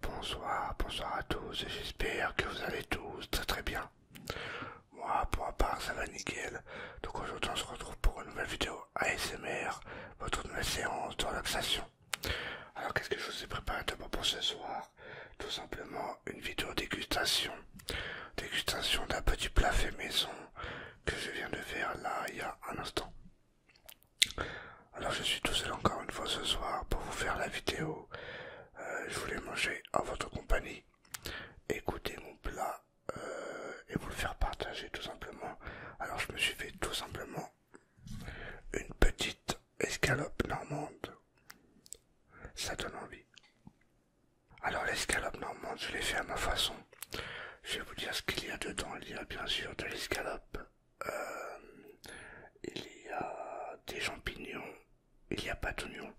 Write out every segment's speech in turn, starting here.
Bonsoir, bonsoir à tous et j'espère que vous allez tous très très bien. Moi pour ma part ça va nickel. Donc aujourd'hui on se retrouve pour une nouvelle vidéo ASMR, votre nouvelle séance de relaxation. Alors qu'est-ce que je vous ai préparé pour ce soir Tout simplement une vidéo dégustation. Dégustation d'un petit plat fait maison que je viens de faire là il y a un instant. Alors je suis tout seul encore une fois ce soir pour vous faire la vidéo. Euh, je voulais manger en votre compagnie, Écoutez mon plat euh, et vous le faire partager tout simplement. Alors je me suis fait tout simplement une petite escalope normande. Ça donne envie. Alors l'escalope normande, je l'ai fait à ma façon. Je vais vous dire ce qu'il y a dedans. Il y a bien sûr de l'escalope, euh, il y a des champignons, il y a pas d'oignons,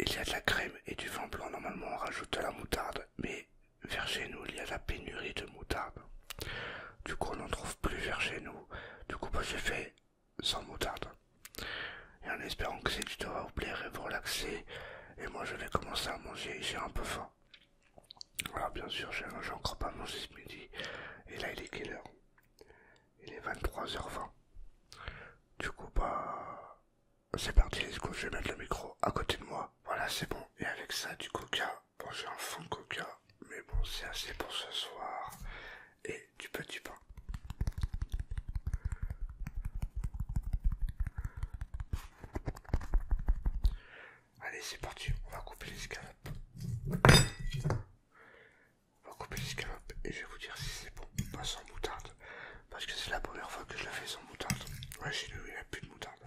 il y a de la crème et du vin blanc. Normalement, on rajoute de la moutarde, mais vers chez nous, il y a la pénurie de moutarde. Du coup, on n'en trouve plus vers chez nous. Du coup, moi, j'ai fait sans moutarde. Et en espérant que cette vidéo va vous plaire et vous relaxer, et moi, je vais commencer à manger. J'ai un peu faim. Alors ah, bien sûr, j'ai encore pas mangé ce midi. Et là, il est quelle heure Il est 23h20. Du coup, bah... C'est parti, du coup je vais mettre le micro à côté de moi. Voilà, c'est bon. Et avec ça, du coca. Bon, j'ai un fond de coca, mais bon, c'est assez pour ce soir. Et du petit pain. Allez, c'est parti, on va couper les l'escalope. On va couper les l'escalope et je vais vous dire si c'est bon pas sans moutarde. Parce que c'est la première fois que je la fais sans moutarde. Ouais, chez nous, il n'y a plus de moutarde.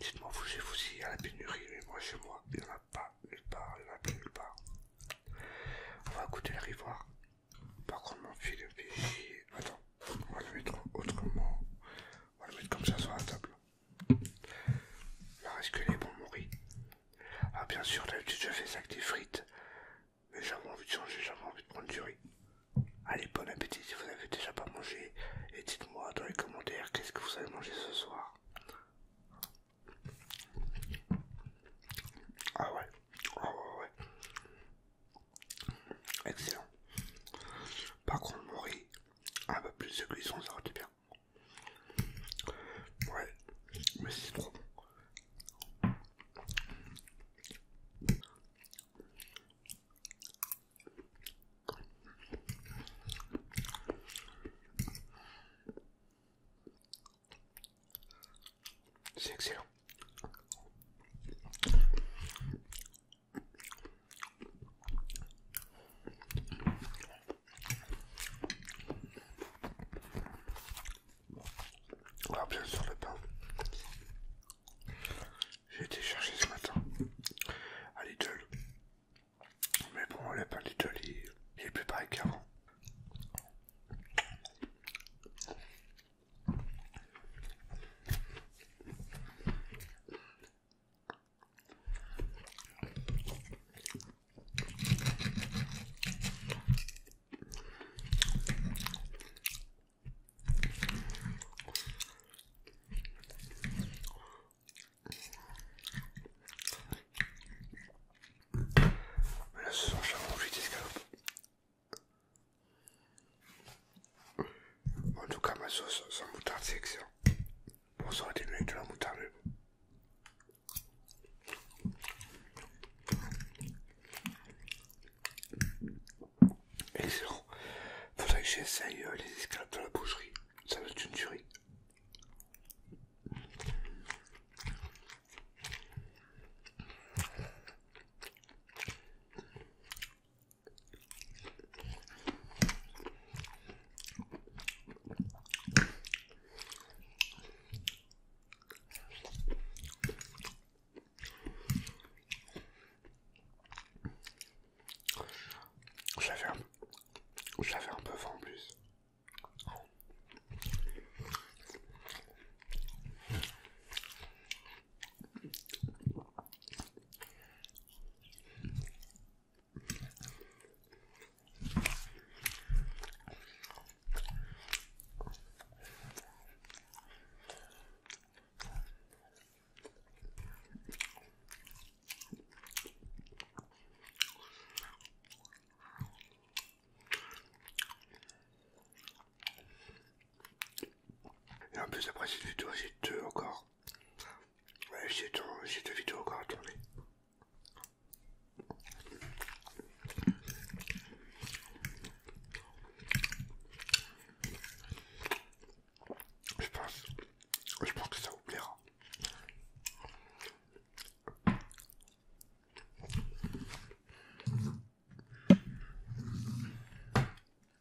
Dites-moi, vous, chez vous, s'il y a la pénurie, mais moi, chez moi, il n'y en a pas nulle part, il n'y en a plus nulle part. On va goûter le rivoire. Par contre, mon fil Attends, on va le mettre autrement. On va le mettre comme ça sur la table. Il est reste que les bons mouris. Ah, bien sûr, d'habitude, je fais ça avec des frites. Mais j'avais envie de changer, j'avais envie de prendre du riz. Allez, bon appétit si vous n'avez déjà pas mangé. Et dites-moi dans les commentaires qu'est-ce que vous allez manger ce soir. Ah, ah ouais, ouais, Excellent. Par contre, mon ah bah plus de cuisson, ça aurait été bien. Ouais, mais c'est trop bon. C'est excellent. Alors bien sûr le pain. J'ai été chercher ce matin à Lidl. Mais bon le pain Lidl il, est plus pareil qu'avant. Mais là ce sont dit ce escalopes. En tout cas ma sauce sans moutarde c'est excellent. Bon, ça aurait été mieux avec de la moutarde. Excellent. Faudrait que j'essaye euh, les escalopes de la boucherie. Ça va être une tuerie. J'avais un, j'avais un peu vent en plus. Et en plus après c'est du tout encore Ouais, j'ai deux vidéos encore à tourner. Je pense, je pense que ça vous plaira.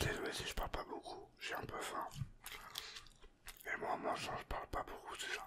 Désolé si je parle pas beaucoup, j'ai un peu faim. Et moi, moi je parle pas beaucoup, de ça.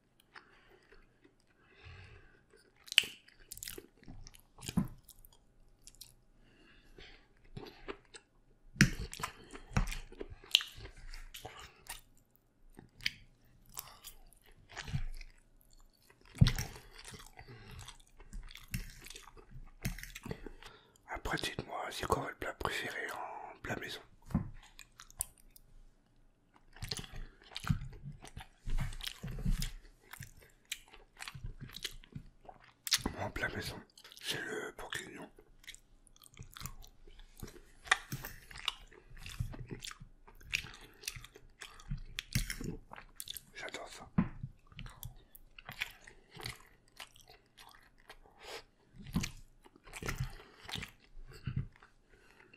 Après, dites-moi, c'est quoi le plat préféré en plat maison mon plat maison, c'est le bourguignon. J'adore ça.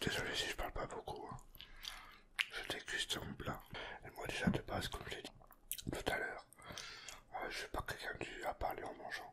Désolé si je parle pas beaucoup. Hein. Je déguste mon plat. Et moi déjà de base, comme j'ai dit tout à l'heure, euh, je suis pas quelqu'un qui à parler en mangeant.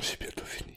C'est bientôt fini.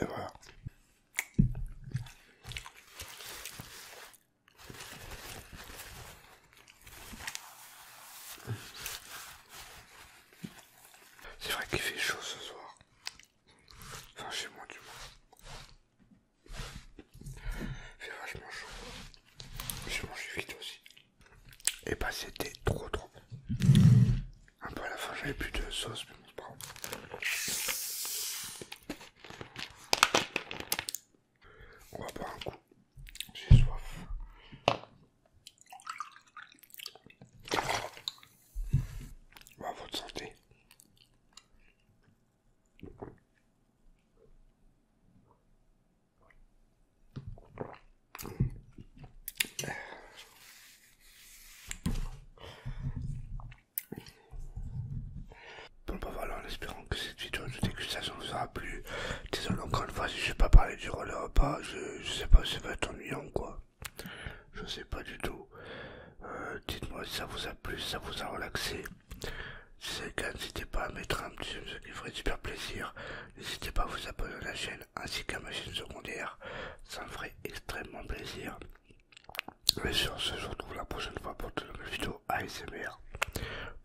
voilà. C'est vrai qu'il fait chaud ce soir. Enfin, chez moi, du moins. Fais vachement chaud. J'ai mangé vite aussi. Et bah, c'était trop trop bon. Un peu à la fin, j'avais plus de sauce, mais bon, pardon. On va boire un coup. J'ai soif à santé. Bon bah voilà, en espérant que cette vidéo de dégustation vous aura plu. Désolé encore une fois si je sais pas parler du relais repas, je, sais pas, si ça va être ennuyant quoi. Je sais pas du tout. Euh, dites-moi si ça vous a plu, si ça vous a relaxé. Si c'est le cas, n'hésitez pas à mettre un petit j'aime, ce qui ferait super plaisir. N'hésitez pas à vous abonner à la chaîne ainsi qu'à ma chaîne secondaire. Ça me ferait extrêmement plaisir. Mais sur ce, je vous retrouve la prochaine fois pour de nouvelles vidéos ASMR.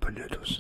Bonne nuit à tous.